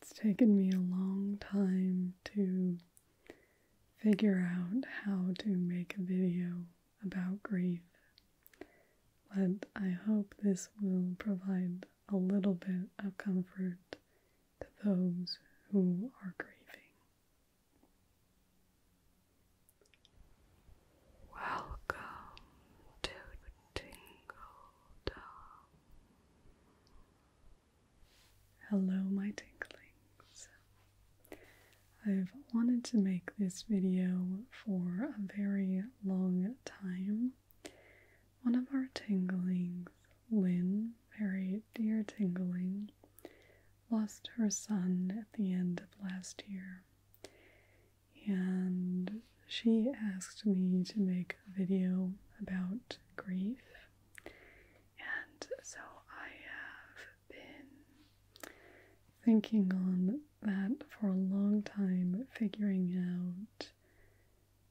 It's taken me a long time to figure out how to make a video about grief, but I hope this will provide a little bit of comfort to those who are grieving. Welcome to Tingle Hello, my tinklings. I've wanted to make this video for a very long time. One of our tinglings, Lynn, very dear tingling, lost her son at the end of last year. And she asked me to make a video about grief, and so I have been thinking on that for a long time, figuring out,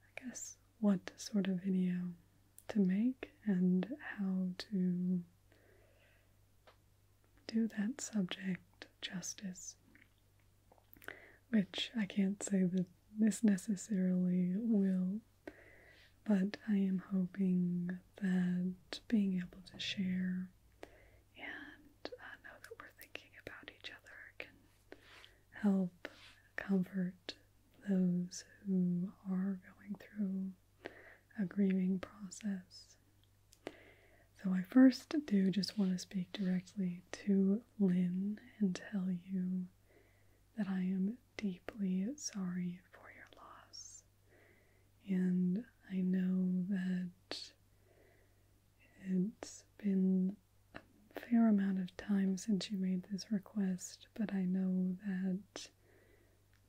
I guess, what sort of video to make and how to do that subject justice which I can't say that this necessarily will, but I am hoping that being able to share and uh, know that we're thinking about each other can help comfort those who are going through a grieving process. So, I first do just want to speak directly to Lynn and tell you that I am deeply sorry for your loss. And I know that it's been a fair amount of time since you made this request, but I know that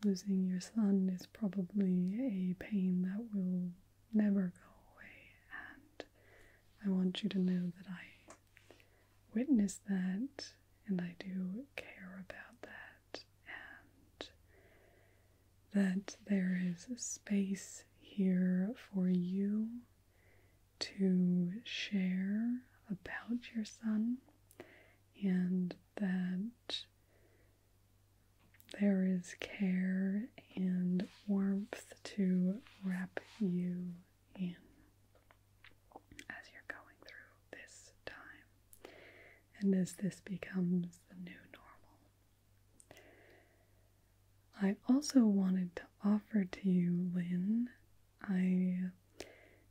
losing your son is probably a pain that will never go away, and I want you to know that I witness that, and I do care about that, and that there is space here for you to share about your son, and that there is care and warmth to wrap you in as you're going through this time and as this becomes the new normal. I also wanted to offer to you, Lynn. I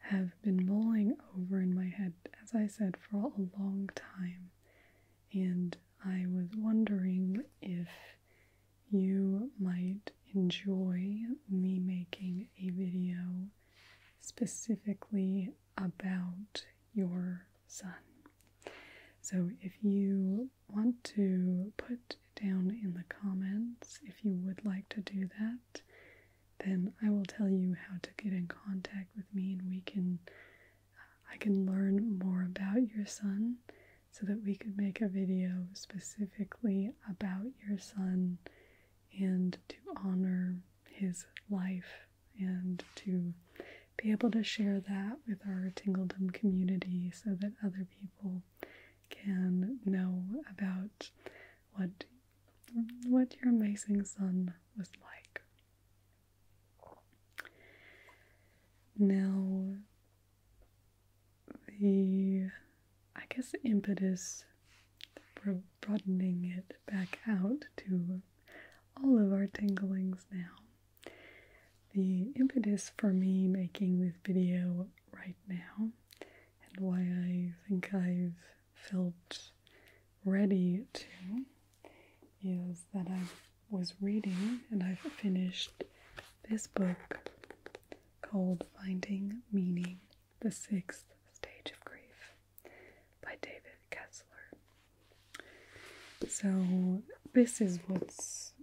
have been mulling over in my head, as I said, for a long time, and I was wondering if you might enjoy me making a video specifically about your son. So, if you want to put down in the comments if you would like to do that, then I will tell you how to get in contact with me and we can. Uh, I can learn more about your son so that we could make a video specifically about your son and to honor his life and to be able to share that with our Tingledom community so that other people can know about what what your amazing son was like. Now the I guess impetus for broadening it back out to all of our tinglings now. The impetus for me making this video right now and why I think I've felt ready to is that I was reading and I've finished this book called Finding Meaning The Sixth Stage of Grief by David Kessler. So, this is what's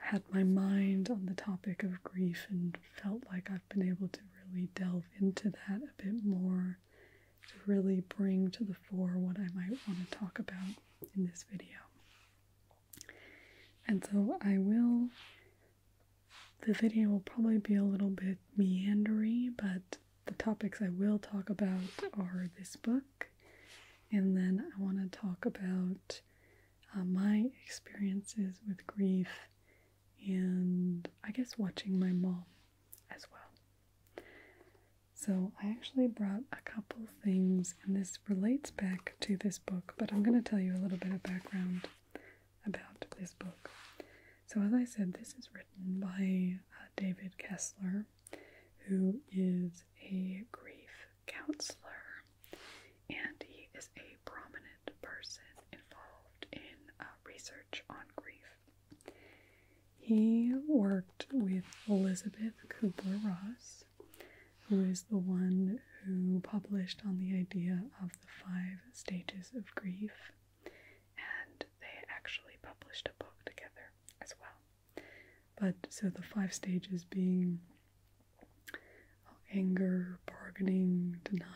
had my mind on the topic of grief and felt like I've been able to really delve into that a bit more to really bring to the fore what I might want to talk about in this video. And so I will, the video will probably be a little bit meandery, but the topics I will talk about are this book, and then I want to talk about uh, my experiences with grief and I guess watching my mom as well. So I actually brought a couple things, and this relates back to this book, but I'm going to tell you a little bit of background about this book. So, as I said, this is written by uh, David Kessler, who is a grief counselor, and he is a prominent person involved in uh, research on grief. He worked with Elizabeth Kubler Ross who is the one who published on the idea of the five stages of grief, and they actually published a book together as well. But so the five stages being oh, anger, bargaining, denial,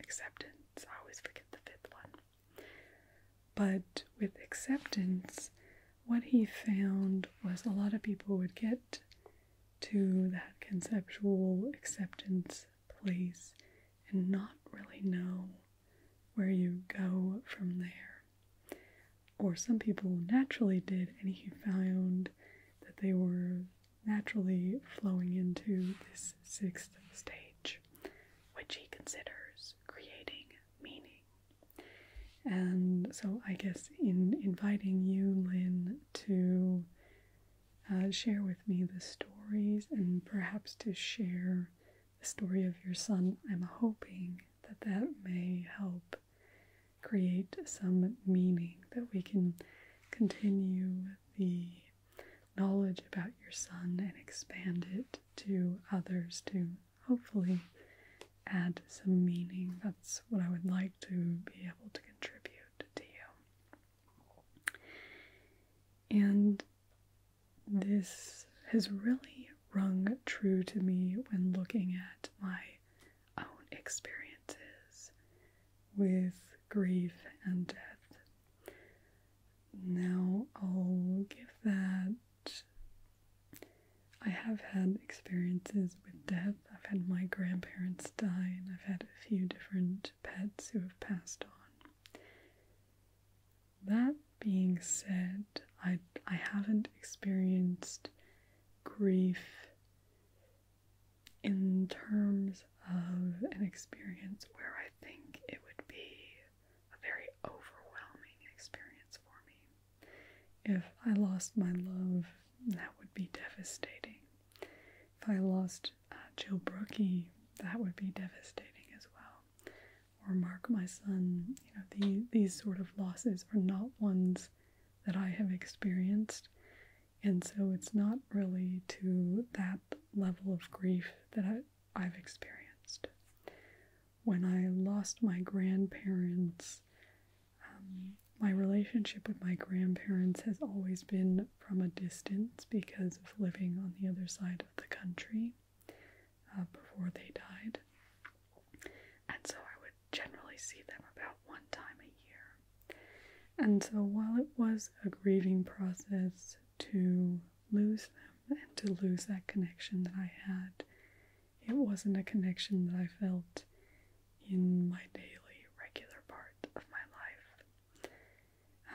acceptance. I always forget the fifth one. But with acceptance, what he found was a lot of people would get to that conceptual acceptance place and not really know where you go from there. Or some people naturally did, and he found that they were naturally flowing into this sixth stage, which he considers creating meaning. And so, I guess in inviting you, Lynn, to uh, share with me the stories and perhaps to share the story of your son, I'm hoping that that may help create some meaning that we can continue the knowledge about your son and expand it to others to hopefully add some meaning. That's what I would like to be able to contribute to you. And this has really rung true to me when looking at my own experiences with grief and death. Now I'll give that I have had experiences with death. I've had my grandparents die, and I've had a few different pets who have passed on. That being said, I, I haven't experienced grief in terms of an experience where I think it would be a very overwhelming experience for me. If I lost my love, that would be devastating. If I lost uh, Joe Brookie, that would be devastating as well. Or Mark, my son, you know, the, these sort of losses are not ones that I have experienced. And so it's not really to that level of grief that I've experienced. When I lost my grandparents, um, my relationship with my grandparents has always been from a distance because of living on the other side of the country uh, before they died. And so I would generally see them about one time a year. And so while it was a grieving process to lose them and to lose that connection that I had, it wasn't a connection that I felt in my daily, regular part of my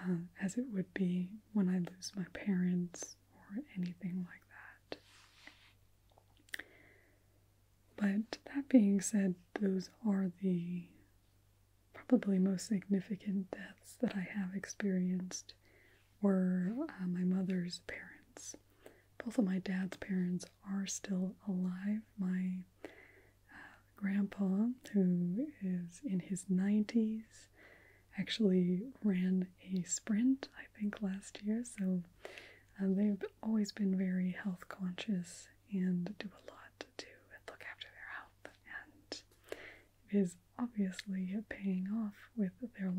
life, um, as it would be when I lose my parents or anything like that. But that being said, those are the probably most significant deaths that I have experienced were uh, my mother's parents. Both of my dad's parents are still alive. My uh, grandpa, who is in his 90s, actually ran a sprint, I think, last year. So uh, they've always been very health conscious and do a lot to look after their health. And it is obviously paying off with their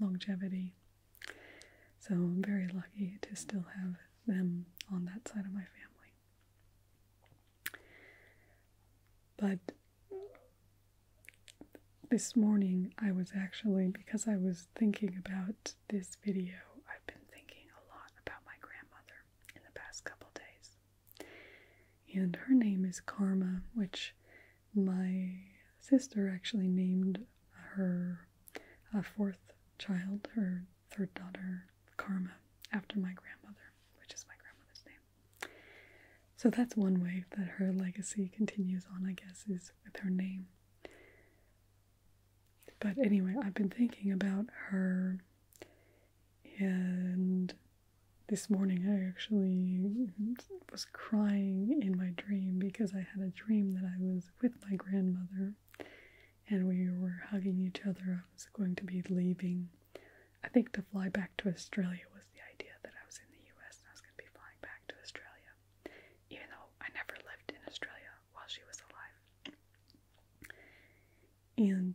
longevity so I'm very lucky to still have them on that side of my family. But this morning I was actually, because I was thinking about this video, I've been thinking a lot about my grandmother in the past couple days. And her name is Karma, which my sister actually named her a fourth child, her third daughter, Karma, after my grandmother, which is my grandmother's name. So that's one way that her legacy continues on, I guess, is with her name. But anyway, I've been thinking about her, and this morning I actually was crying in my dream because I had a dream that I was with my grandmother, and we were hugging each other. I was going to be leaving, I think, to fly back to Australia was the idea that I was in the US and I was going to be flying back to Australia, even though I never lived in Australia while she was alive. And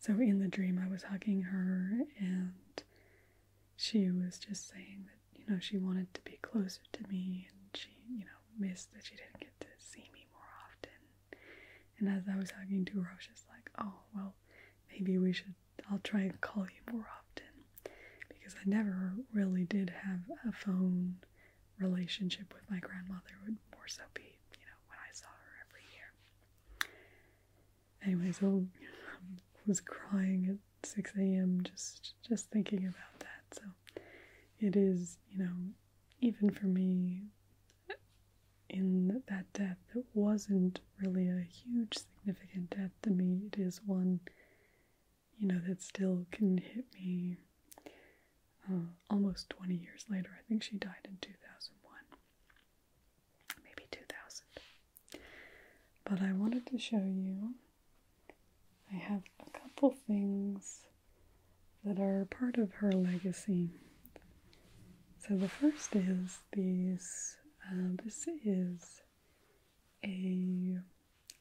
so in the dream, I was hugging her, and she was just saying that you know, she wanted to be closer to me and she, you know, missed that she didn't get to see me more often. And as I was hugging to her, I was just like, oh, well, maybe we should, I'll try and call you more often. Because I never really did have a phone relationship with my grandmother, would more so be, you know, when I saw her every year. Anyway, so I was crying 6 a.m. just just thinking about that. So it is, you know, even for me in that death it wasn't really a huge significant death to me, it is one, you know, that still can hit me uh, almost 20 years later. I think she died in 2001, maybe 2000. But I wanted to show you I have a couple things that are part of her legacy. So the first is these. Uh, this is a.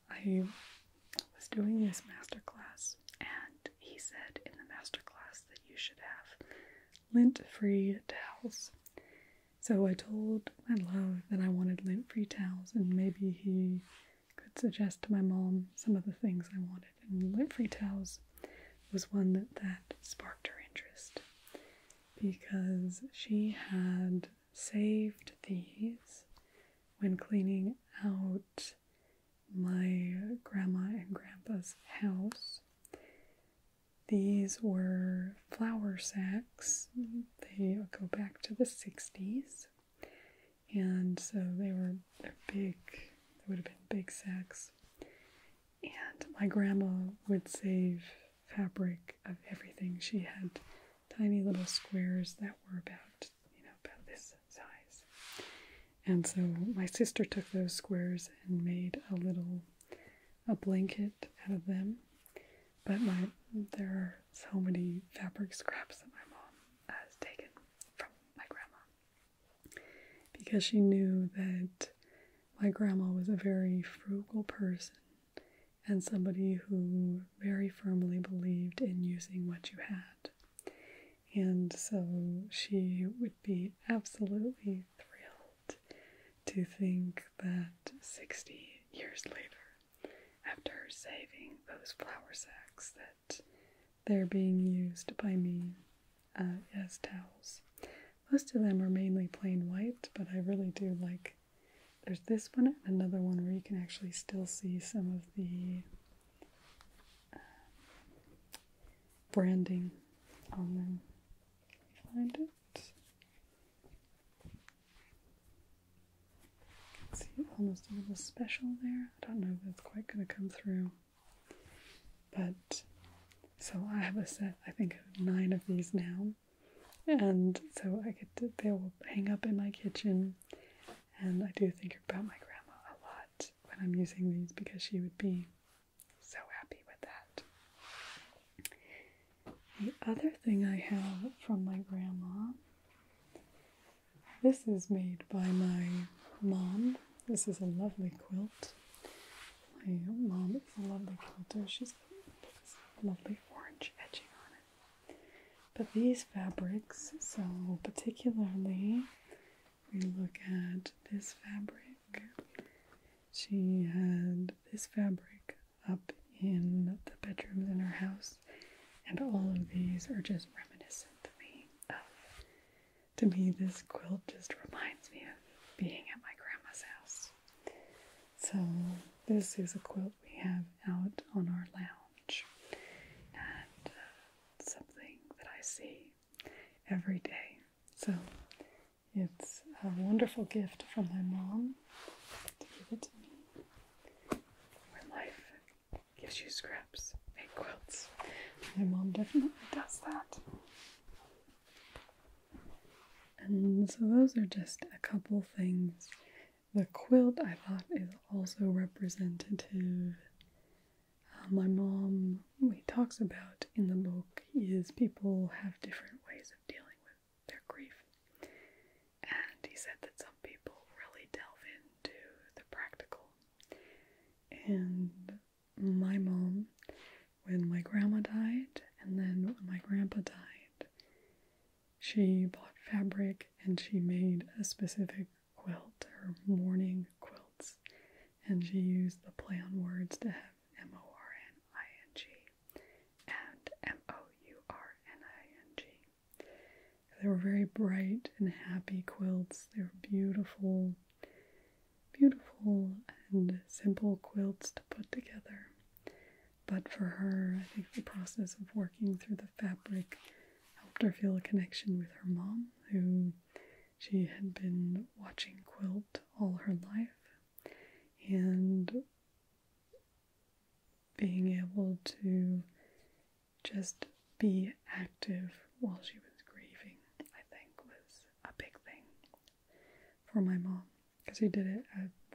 I was doing this masterclass, and he said in the masterclass that you should have lint free towels. So I told I love that I wanted lint free towels, and maybe he could suggest to my mom some of the things I wanted. And lint free towels was one that, that sparked her interest because she had saved these when cleaning out my grandma and grandpa's house. These were flower sacks they go back to the 60s. And so they were big, they would have been big sacks. And my grandma would save fabric of everything. She had tiny little squares that were about, you know, about this size. And so my sister took those squares and made a little a blanket out of them. But my there are so many fabric scraps that my mom has taken from my grandma because she knew that my grandma was a very frugal person and somebody who very firmly believed in using what you had. And so she would be absolutely thrilled to think that 60 years later after saving those flour sacks that they're being used by me uh, as towels. Most of them are mainly plain white, but I really do like. There's this one and another one where you can actually still see some of the uh, branding on them. Find it see almost a little special there. I don't know if that's quite going to come through. But so I have a set, I think, of nine of these now. And so I get they will hang up in my kitchen. And I do think about my grandma a lot when I'm using these because she would be so happy with that. The other thing I have from my grandma, this is made by my mom. This is a lovely quilt. My mom is a lovely quilter. got this lovely orange edging on it. But these fabrics, so particularly we look at this fabric. She had this fabric up in the bedrooms in our house, and all of these are just reminiscent to me To me, this quilt just reminds me of being at my grandma's house. So, this is a quilt we have out on our lounge, and uh, something that I see every day. So, it's a wonderful gift from my mom to give it to me. When life gives you scraps, make quilts. My mom definitely does that. And so those are just a couple things. The quilt I thought is also representative. Uh, my mom, he talks about in the book, is people have different ways of dealing with their grief. And he said that some people really delve into the practical. And my mom, when my grandma died, and then when my grandpa died, she bought fabric and she made a specific quilt or mourning quilts. And she used the play on words to have M O R N I N G and M O U R N I N G. They were very bright and happy quilts. They were beautiful, beautiful and simple quilts to put together. But for her, I think the process of working through the fabric helped her feel a connection with her mom, who she had been watching quilt all her life and being able to just be active while she was grieving, I think, was a big thing for my mom because she did it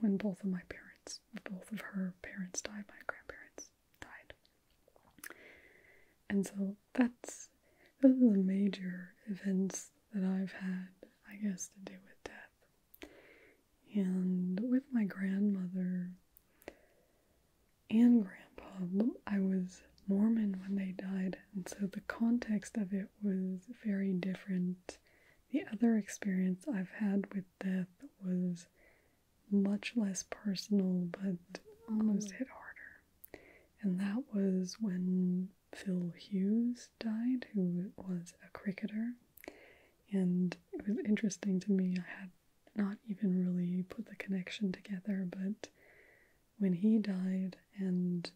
when both of my parents, both of her parents died, my grandparents died. And so that's those are the major events that I've had, I guess, to do with death and with my grandmother and grandpa. I was Mormon when they died, and so the context of it was very different. The other experience I've had with death was much less personal, but almost hit harder. And that was when Phil Hughes died, who was a cricketer. And it was interesting to me. I had not even really put the connection together, but when he died, and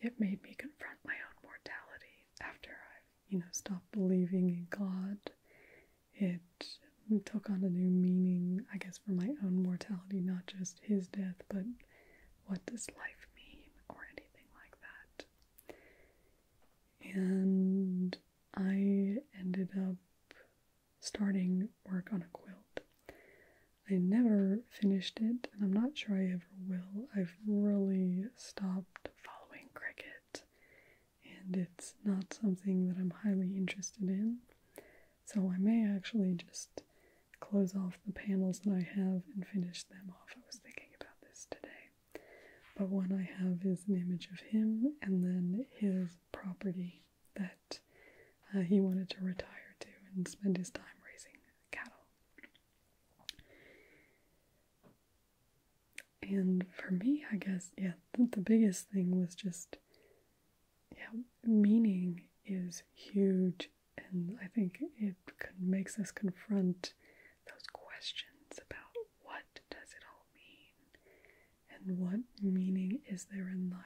it made me confront my own mortality after I, you know, stopped believing in God, it took on a new meaning, I guess, for my own mortality, not just his death, but what does life mean or anything like that and I ended up starting work on a quilt. I never finished it, and I'm not sure I ever will. I've really stopped following cricket, and it's not something that I'm highly interested in. So I may actually just close off the panels that I have and finish them off. I was thinking about this today. But one I have is an image of him and then his property that uh, he wanted to retire to and spend his time raising cattle. And for me, I guess, yeah, the, the biggest thing was just, yeah, meaning is huge. And I think it makes us confront those questions about what does it all mean? And what meaning is there in life?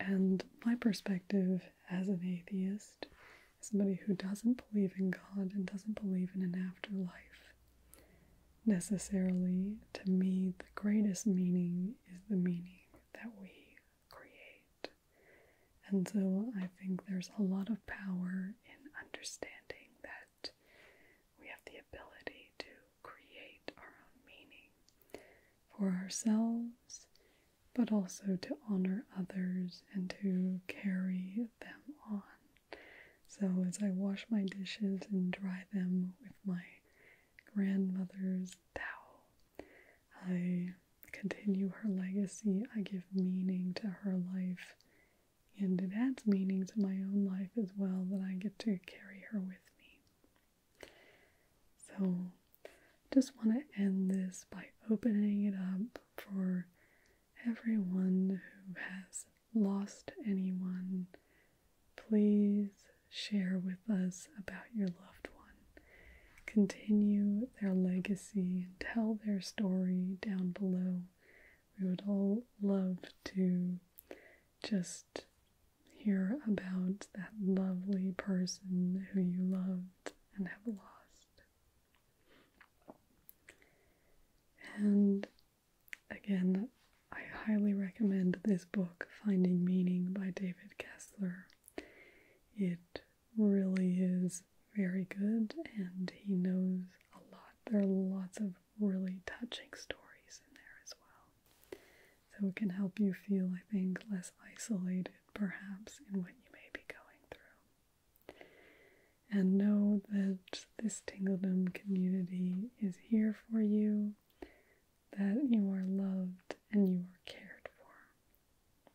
And my perspective as an atheist, somebody who doesn't believe in God and doesn't believe in an afterlife, necessarily, to me, the greatest meaning is the meaning that we create. And so I think there's a lot of power in understanding that we have the ability to create our own meaning for ourselves, but also to honor others and to carry them on. So, as I wash my dishes and dry them with my grandmother's towel, I continue her legacy, I give meaning to her life and it adds meaning to my own life as well that I get to carry her with me. So, just want to end this by opening it up for everyone who has lost anyone. Please share with us about your loved one. Continue their legacy and tell their story down below we would all love to just hear about that lovely person who you loved and have lost. And again, I highly recommend this book, Finding Meaning by David Kessler. It really is very good and he knows a lot. There are lots of really touching stories in there as well. So it can help you feel, I think, less isolated perhaps in what you may be going through. And know that this Tingledom community is here for you, that you are loved and you are cared for.